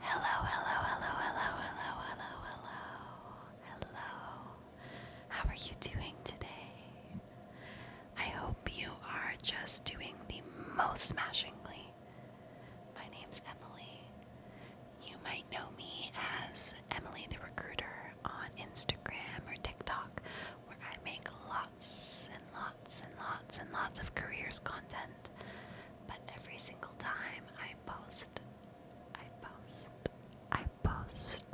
Hello, hello, hello, hello, hello, hello, hello, hello. How are you doing today? I hope you are just doing the most smashingly. My name's Emily. You might know me as Emily the Recruiter on Instagram or TikTok, where I make lots and lots and lots and lots of careers content. But every single time I post, I post, I post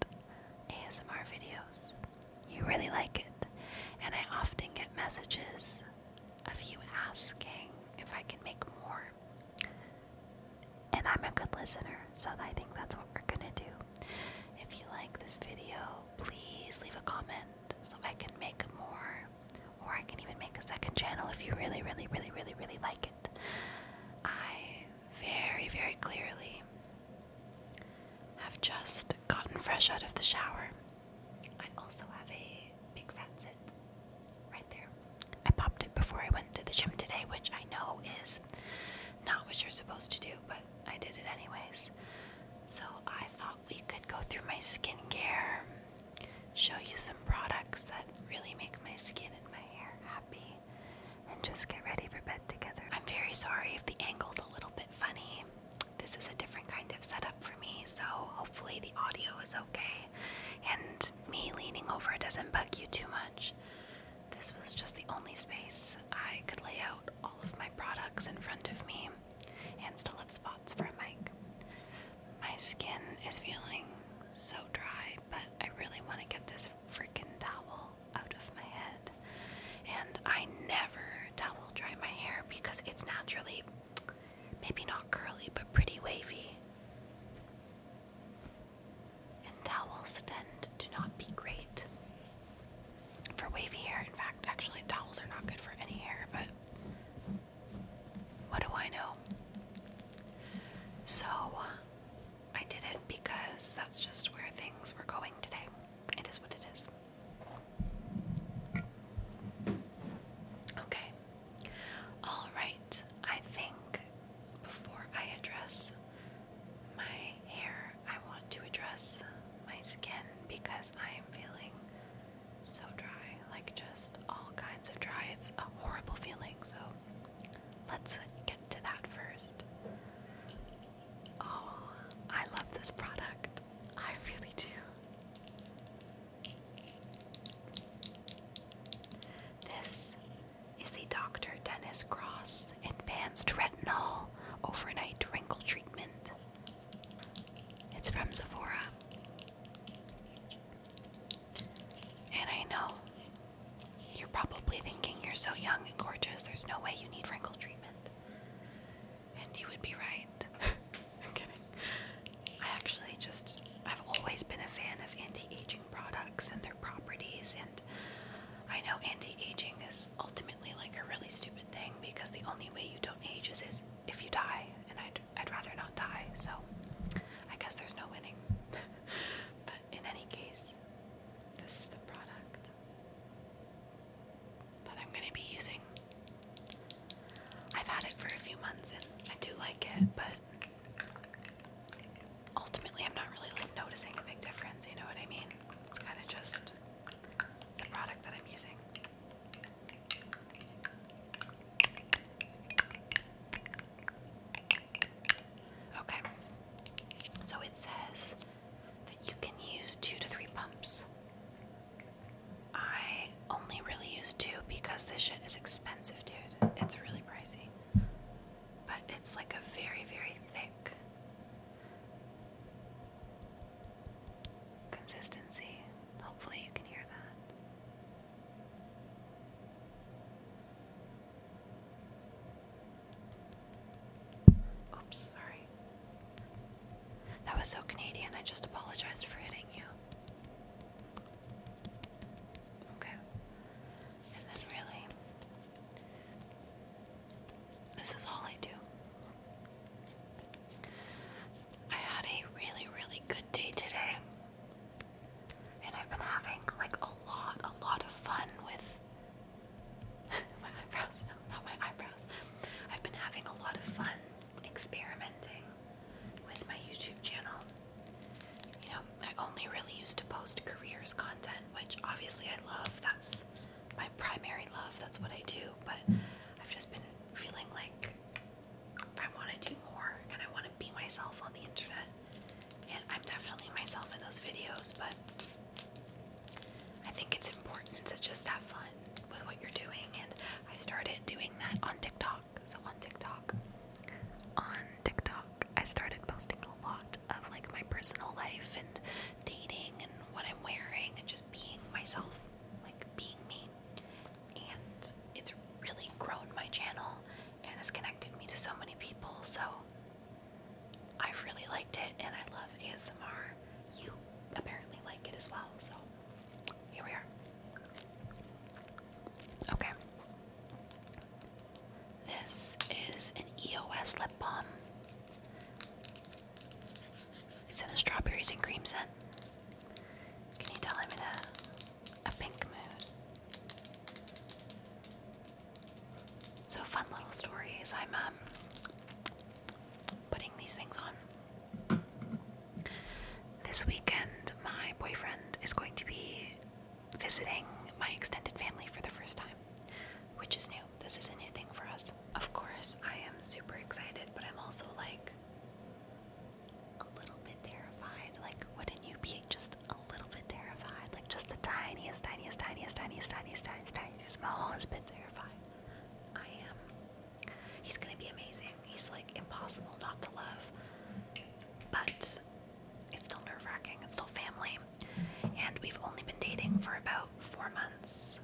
ASMR videos, you really like it. And I often get messages of you asking if I can make more. And I'm a good listener, so I think that's what we're gonna do. If you like this video, please leave a comment so I can make more. Or I can even make a second channel if you really, really, really, really, really like it. I very, very clearly have just gotten fresh out of the shower. I also have a big fat sit right there. I popped it before I went to the gym today, which I know is not what you're supposed to do, but I did it anyways. So I thought we could go through my skincare show you some products that really make my skin and my hair happy and just get ready for bed together. I'm very sorry if the angle's a little bit funny. This is a different kind of setup for me, so hopefully the audio is okay and me leaning over doesn't bug you too much. This was just the only space I could lay out all of my products in front of me and still have spots for a mic. My skin is feeling so dry, but I really want to get this freaking towel out of my head. And I never towel dry my hair because it's naturally maybe not curly but pretty wavy. And towels tend to not be great for wavy hair. In fact, actually, towels are not good for any hair, but what do I know? So, I did it because that's just where things were going today. It is what it is. Okay. Alright, I think before I address my hair, I want to address my skin because I am feeling so dry, like just all kinds of dry. It's a horrible feeling, so let's get to that first. Oh, I love this product. I really do. This is the Dr. Dennis Cross Advanced Retinol Overnight Wrinkle Treatment. It's from Sephora. And I know you're probably thinking you're so young and gorgeous, there's no way you need wrinkle treatment. And you would be right. I'm kidding. I actually just, I've always been a fan of anti aging products and their properties. And I know anti aging is ultimately like a really stupid thing because the only way you don't age is, if you die. And I don't. I'd, rather not die, so I guess there's no winning. but in any case, this is the product that I'm going to be using. I've had it for a few months and I do like it, but ultimately I'm not really like, noticing a big difference, you know what I mean? It's kind of just the product that I'm using. Okay, so it says that you can use two to three pumps. I only really use two because this shit is expensive, dude. It's really pricey. But it's like a very, very thick consistency. Hopefully, you can hear that. Oops, sorry. That was so Canadian, I just apologize for hitting you. Okay. And then, really, this is all I do. I had a really, really good day today and I've been having like a lot, a lot of fun with my eyebrows. No, not my eyebrows. I've been having a lot of fun experimenting with my YouTube channel. You know, I only really used to post careers content, which obviously I love. That's my primary love. That's what I do. But I've just been feeling like I want to do more and I want to be myself on the internet. And I'm definitely myself in those videos, but I think it's important to just have fun with what you're doing. And I started doing that on TikTok. So on TikTok, on TikTok, I started posting a lot of like my personal life and dating and what I'm wearing and just being myself, like being me. And it's really grown my channel and it's connected me to so many people. So I've really liked it, and I love ASMR. You apparently like it as well. So here we are. Okay. This is an EOS lip balm. It's in the strawberries and cream scent. Can you tell I'm in a a pink mood. So fun little stories. I'm um, putting these things on. This weekend, my boyfriend is going to be visiting my extended family for the first time, which is new. This is a new thing for us. Of course, I am super excited, but I'm also like, a little bit terrified. Like, wouldn't you be just a little bit terrified? Like, just the tiniest, tiniest, tiniest, tiniest, tiniest, tiniest, tiniest smallest bit terrified. I am. He's gonna be amazing. He's like impossible not to love. But it's still nerve wracking. It's still family. And we've only been dating for about four months.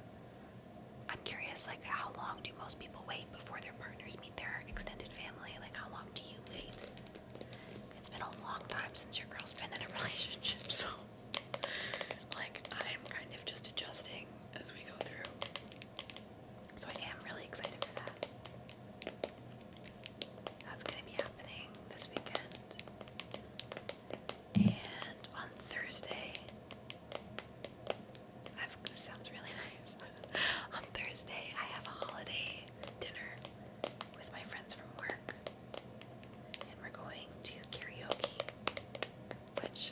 I'm curious, like, how long do most people wait before their partners meet their extended family? Like, how long do you wait? It's been a long time since your girl's been in a relationship, so like I'm kind of just adjusting as we go through. So I am really excited for that. That's gonna be happening this weekend. And on Thursday, I've, this sounds really nice. on Thursday, I have a holiday dinner with my friends from work. And we're going to karaoke, which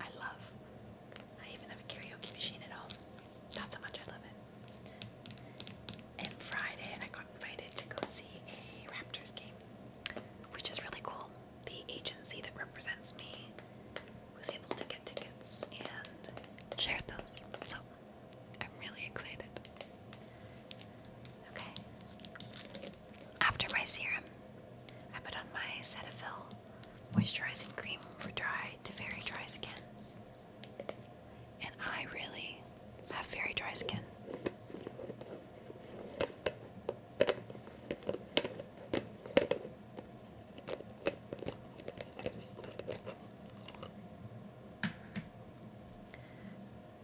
I love. I even have a karaoke machine at home. That's how much I love it. And Friday, I got invited to go see a Raptors game, which is really cool. The agency that represents me was able to get tickets and share those. So I'm really excited. Okay. After my serum, I put on my Cetaphil moisturizing cream for dry to very dry skin. And I really have very dry skin.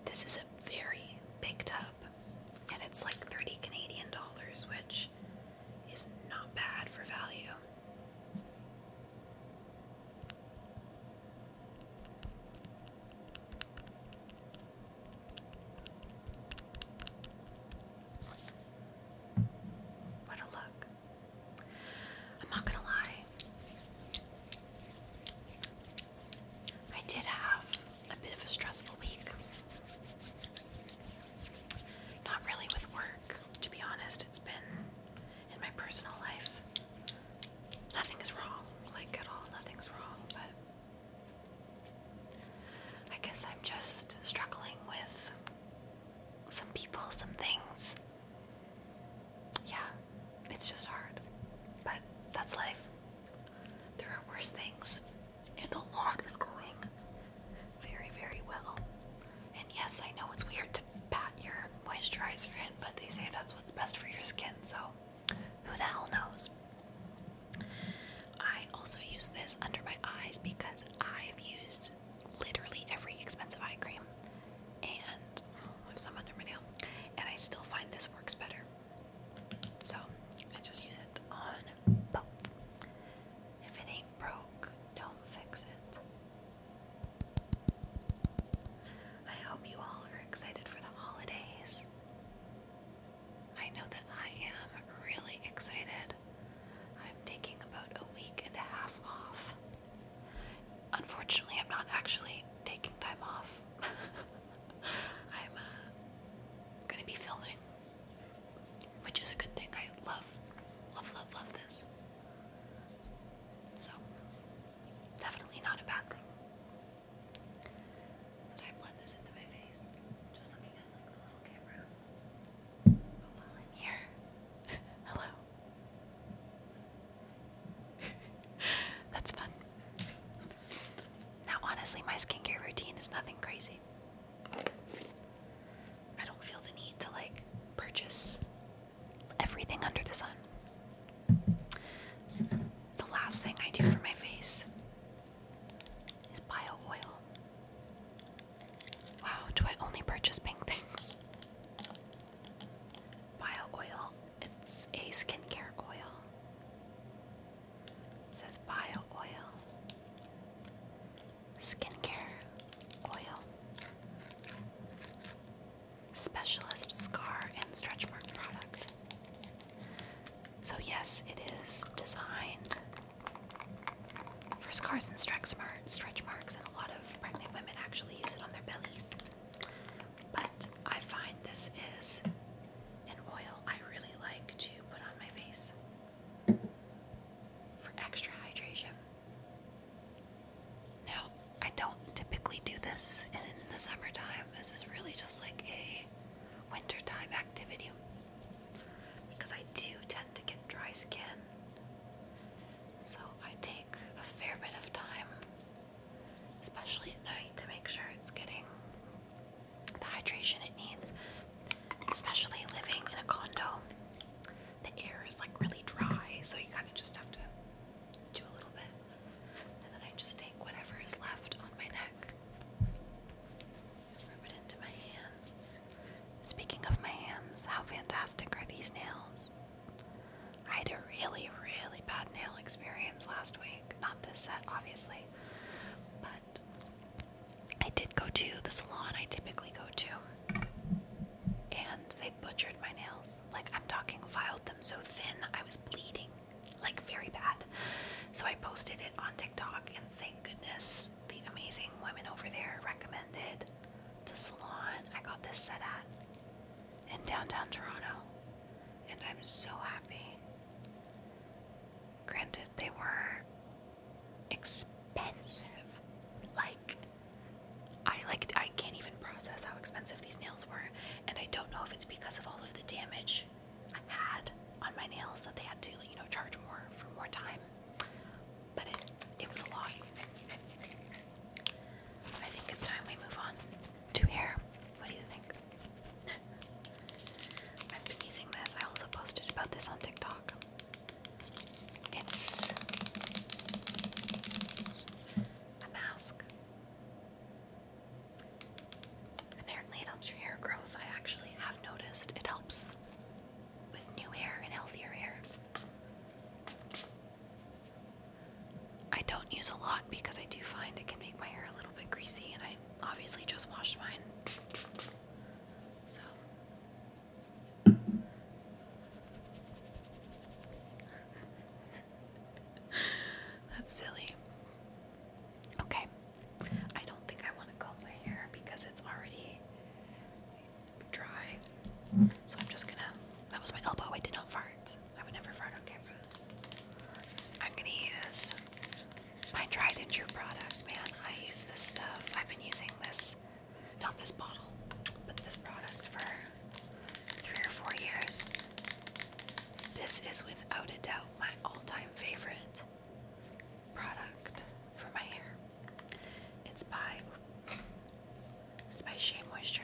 This is a very big tub, and it's like 30 Canadian dollars, which is not bad for value. What a look. I'm not gonna lie. I did have a bit of a stressful week. Not really with work, to be honest. It's been in my personal life. Nothing is wrong, like at all. Nothing's wrong, but I guess I'm just struggling with some people, some things. Yeah, it's just hard. But that's life. There are worse things, and a lot is going very, very well. And yes, I know it's weird to pat your moisturizer in, but they say that's what's best for your skin, so who the hell knows? I also use this under my eyes because I've used literally every expensive eye cream, and oh, I have some under my nail, and I still find this works better. So I just use it on both. If it ain't broke, don't fix it. I hope you all are excited for the holidays. I know that I am really excited. I'm taking about a week and a half off Unfortunately, I'm not actually taking time off. I'm uh, gonna be filming, which is a good thing. I love, love, love, love this. So, definitely not a bad thing. Did I blend this into my face? Just looking at like the little camera. Oh, here. Hello. That's fun. Now, honestly, my skincare routine is nothing crazy. I don't feel the need to like purchase everything under the sun. The last thing I do for my face is bio oil. Wow, do I only purchase pink things? Bio oil. It's a skincare oil. says bio oil. Skincare oil. Specialist scar and stretch mark product. So, yes, it is designed for scars and stretch marks and a lot of pregnant women actually use it on their bellies. But I find this is an oil I really like to put on my face for extra hydration. Now, I don't typically do this in the summertime. This is really just like a wintertime activity because I do tend to get dry skin. So I take a fair bit of time especially at night, to make sure it's getting the hydration it needs. Especially living in a condo, the air is like really dry, so you kind of just have to do a little bit. And then I just take whatever is left on my neck, rub it into my hands. Speaking of my hands, how fantastic are these nails? I had a really, really bad nail experience last week. Not this set, obviously, but I did go to the salon I typically go to, and they butchered my nails. Like, I'm talking, filed them so thin, I was bleeding, like, very bad. So, I posted it on TikTok, and thank goodness the amazing women over there recommended the salon I got this set at in downtown Toronto, and I'm so happy. Granted, they were expensive. Like, I like I can't even process how expensive these nails were, and I don't know if it's because of all of the damage I had on my nails that they had to, you know, charge more for more time. But it it was a lot. I think it's time we move on to hair. What do you think? I've been using this. I also posted about this on TikTok. It's a mask. Apparently, it helps your hair growth. I actually have noticed it helps with new hair and healthier hair. I don't use a lot because I do find it can make my hair a little bit greasy, and I obviously just washed mine. So. That's silly. Okay. I don't think I want to comb my hair because it's already dry. So I'm just gonna. That was my elbow. I did not fart. I would never fart on camera. I'm gonna use my tried and true product, man. I use this stuff. I've been using this, not this bottle, but this product for three or four years. This is without a doubt my all-time favorite product for my hair. It's by it's by Shea Moisture.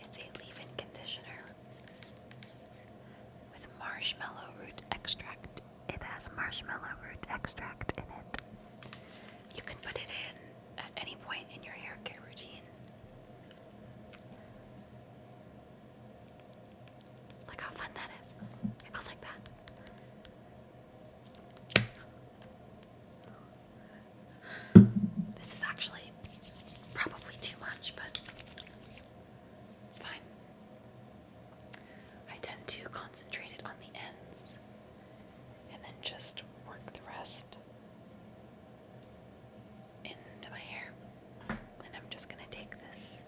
It's a leave in conditioner with marshmallow root extract. It has marshmallow root extract in it. You can put it in at any point in your hair care routine. Look how fun that is. It goes like that. This is actually probably too much, but it's fine. I tend to concentrate it on the ends and then just work the rest into my hair. And I'm just going to take this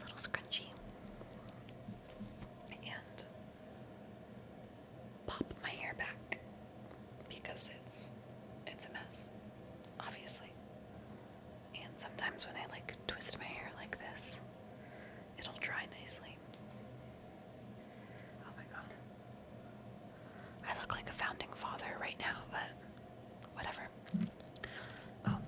little scrunchie and pop my hair back because it's it's a mess, obviously. And sometimes when I like twist my hair like this, it'll dry nicely. Oh my god. I look like a founding father right now, but whatever. Oh,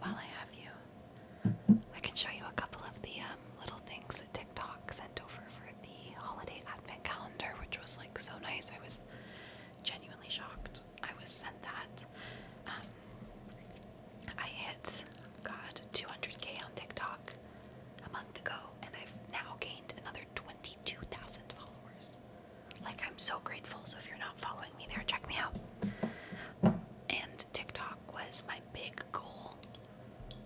while I have you, I can show you a couple of the um, little things box TikTok sent over for the holiday advent calendar, which was like so nice. I was genuinely shocked. I was sent that. Um, I hit, God, 200k on TikTok a month ago, and I've now gained another 22,000 followers. Like, I'm so grateful. So, if you're not following me there, check me out. And TikTok was my big goal,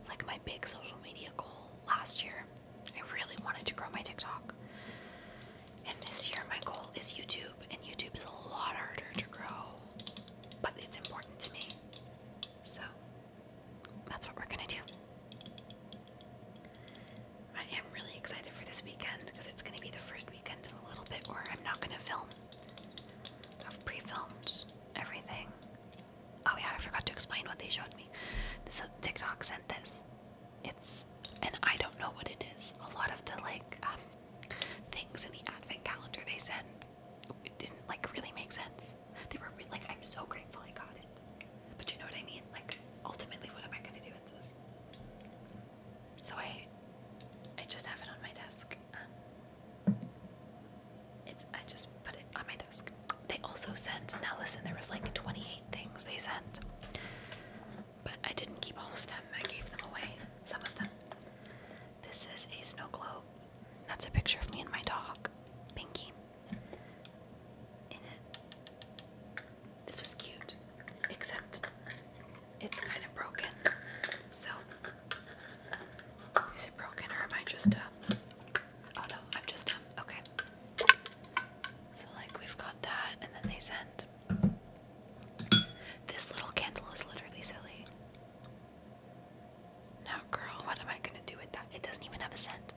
like my big social media goal last year. I really wanted to grow my TikTok. And this year, my goal is YouTube, and YouTube is a lot harder to grow, but it's important to me. So that's what we're gonna do. I am really excited for this weekend because it's gonna be the first weekend in a little bit where I'm not gonna film. I've pre everything Oh yeah, I forgot to explain what they showed me. This TikTok sent this. It's and I don't know what it is. A lot of the like um, things in the advent calendar they sent it didn't like really make sense. They were like, I'm so grateful I got it, but you know what I mean. Like, ultimately, what am I gonna do with this? So I, I just have it on my desk. I just put it on my desk. They also sent, now listen, there was like 28 things they sent, but I didn't keep all of them. I gave them away, some of them. This is a snow globe. That's a picture of me and my dog, Pinky. In it. This was cute, except it's kind of broken. So, is it broken or am I just a Oh no, I'm just Okay. So, like, we've got that, and then they send. This little candle is literally silly. Now, girl, what am I gonna do with that? It doesn't even have a scent.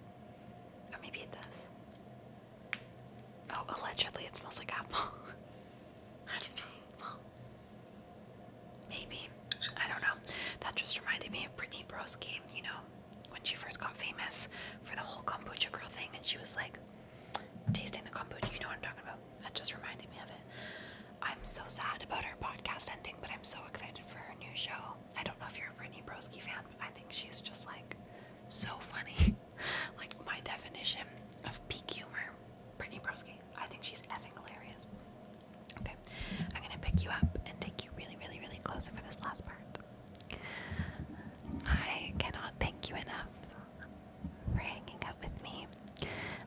Or maybe it does. Oh, allegedly it smells like apple. I maybe. I don't know. That just reminded me of Brittany Broski, you know, when she first got famous for the whole kombucha girl thing, and she was like tasting the kombucha. You know what I'm talking about? That just reminded me of it. I'm so sad about her podcast ending, but I'm so excited for her new show. I don't know if you're a Brittany Broski fan, but I think she's just like so funny. like my definition of peak humor, Brittany Broski. I think she's effing hilarious. Okay, I'm gonna pick you up and take you really, really, really close for this last part. I cannot thank you enough for hanging out with me.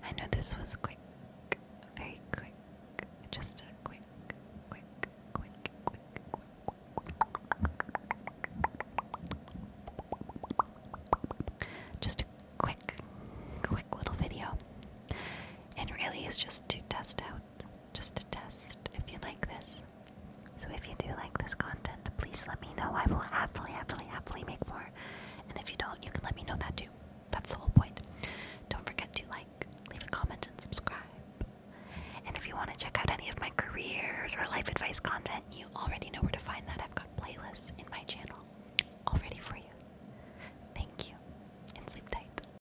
I know this was quick, very quick, just a quick, quick, quick, quick, quick, quick. Just a quick, quick little video. And really, it's just to test out just a test if you like this. So if you do like this content, please let me know. I will happily, happily, happily make more. And if you don't, you can let me know that too. That's the whole point. Don't forget to like, leave a comment, and subscribe. And if you want to check out any of my careers or life advice content, you already know where to find that. I've got playlists in my channel all ready for you. Thank you, and sleep tight.